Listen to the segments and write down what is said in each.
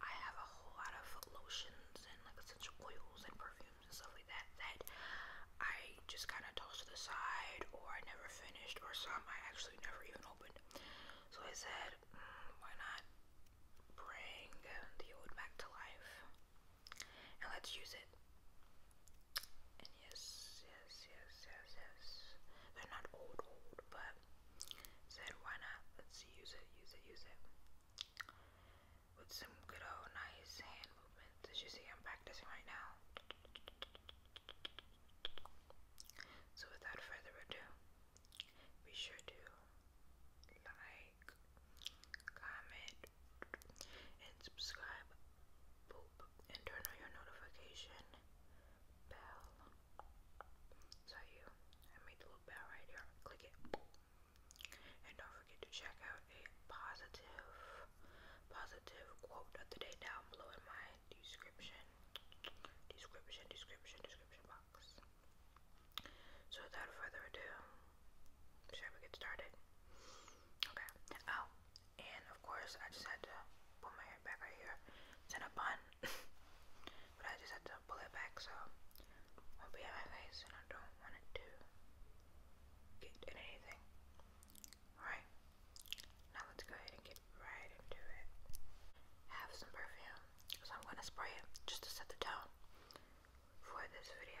I have a whole lot of lotions and like essential oils and perfumes and stuff like that that I just kind of tossed to the side or I never finished or some I actually never even opened. So I said, mm, why not bring the old back to life and let's use it. And yes, yes, yes, yes, yes. They're not old, old, but it. Said, why not? Let's use it, use it, use it. With some good old nice hand movements. As you see, I'm practicing right now. So without further ado, be sure to like, comment, and subscribe, and turn on your notification bell. So you, I made the little bell right here. Click it, and don't forget to check out a positive, positive quote of the day down below in my description, description, description, description box. So without further ado, shall we get started? Okay. Oh, and of course I just had to put my hair back right here. in a bun but I just had to pull it back, so won't be in my face, and I don't want it to get in anything. Alright, now let's go ahead and get right into it. have some perfume, so I'm going to spray it just to set the tone for this video.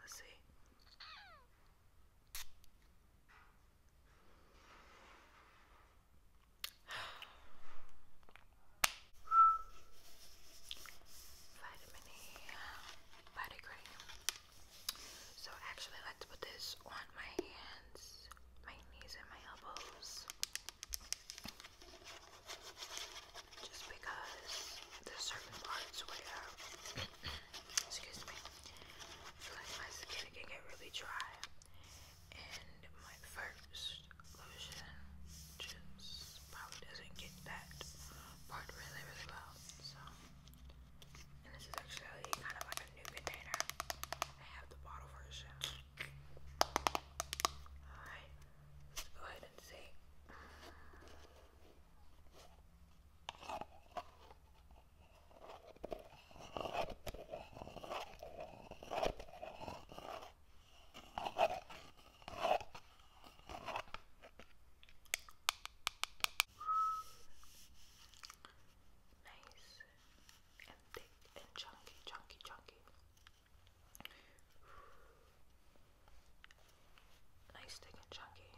Let's see. Vitamin E body cream. So I like to put this on my hands, my knees and my elbows just because there's certain parts where, excuse me, I feel like my skin can get really dry, and my first lotion just probably doesn't get that part really, really well. So, and this is actually kind of like a new container. I have the bottle version. Alright, let's go ahead and see. Nice and thick and chunky, chunky, chunky. Nice, thick, and chunky.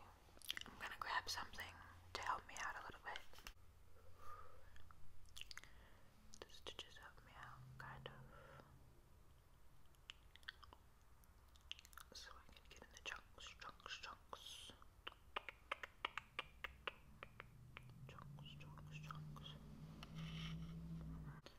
I'm gonna grab something to help me out a little bit. The stitches help me out, kind of. So I can get in the chunks, chunks, chunks. Chunks, chunks, chunks.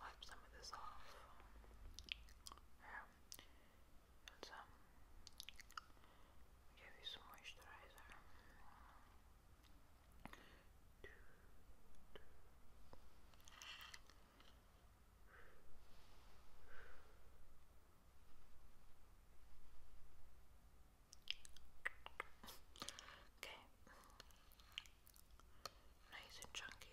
Wipe some of this off. Yeah. And um, give you some moisturizer. Okay. Nice and chunky.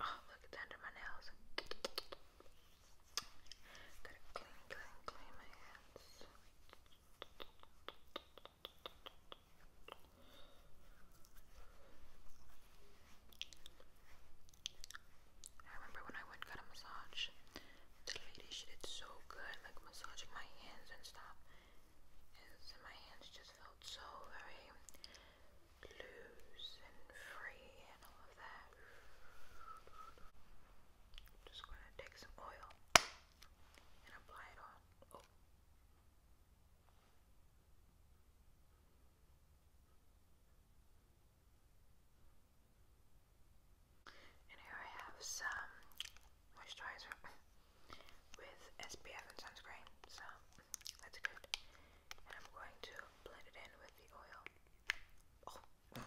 Oh, look, it's under my nails. Gotta clean, clean, clean my hands. I remember when I went got a massage, the lady she did so good, like massaging my hands and stuff. And my hands just felt so very loose and free and all of that. Just gonna take some oil and apply it on. Oh. And here I have some moisturizer with SPF and sunscreen, so that's good. And I'm going to blend it in with the oil. Oh. Okay.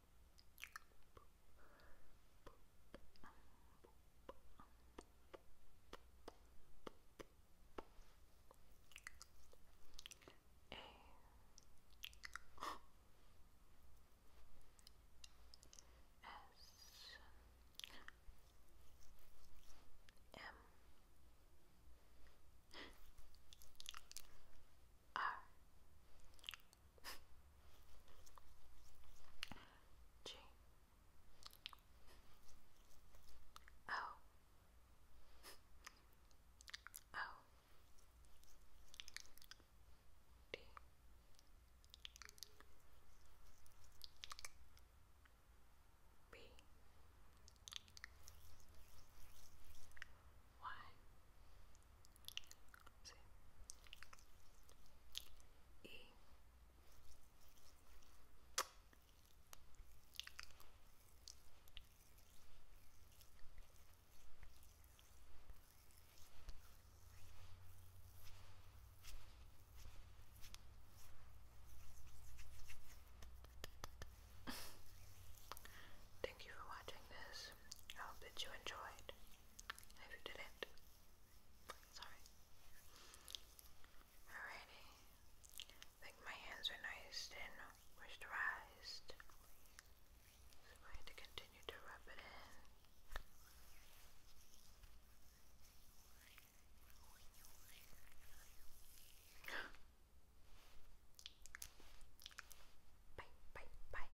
R G O O D B Y Thank you for watching this. I hope that you enjoyed. If you didn't, sorry. Alrighty. I think my hands are nice and moisturized. So I'm to continue to rub it in. bye, bye, bye.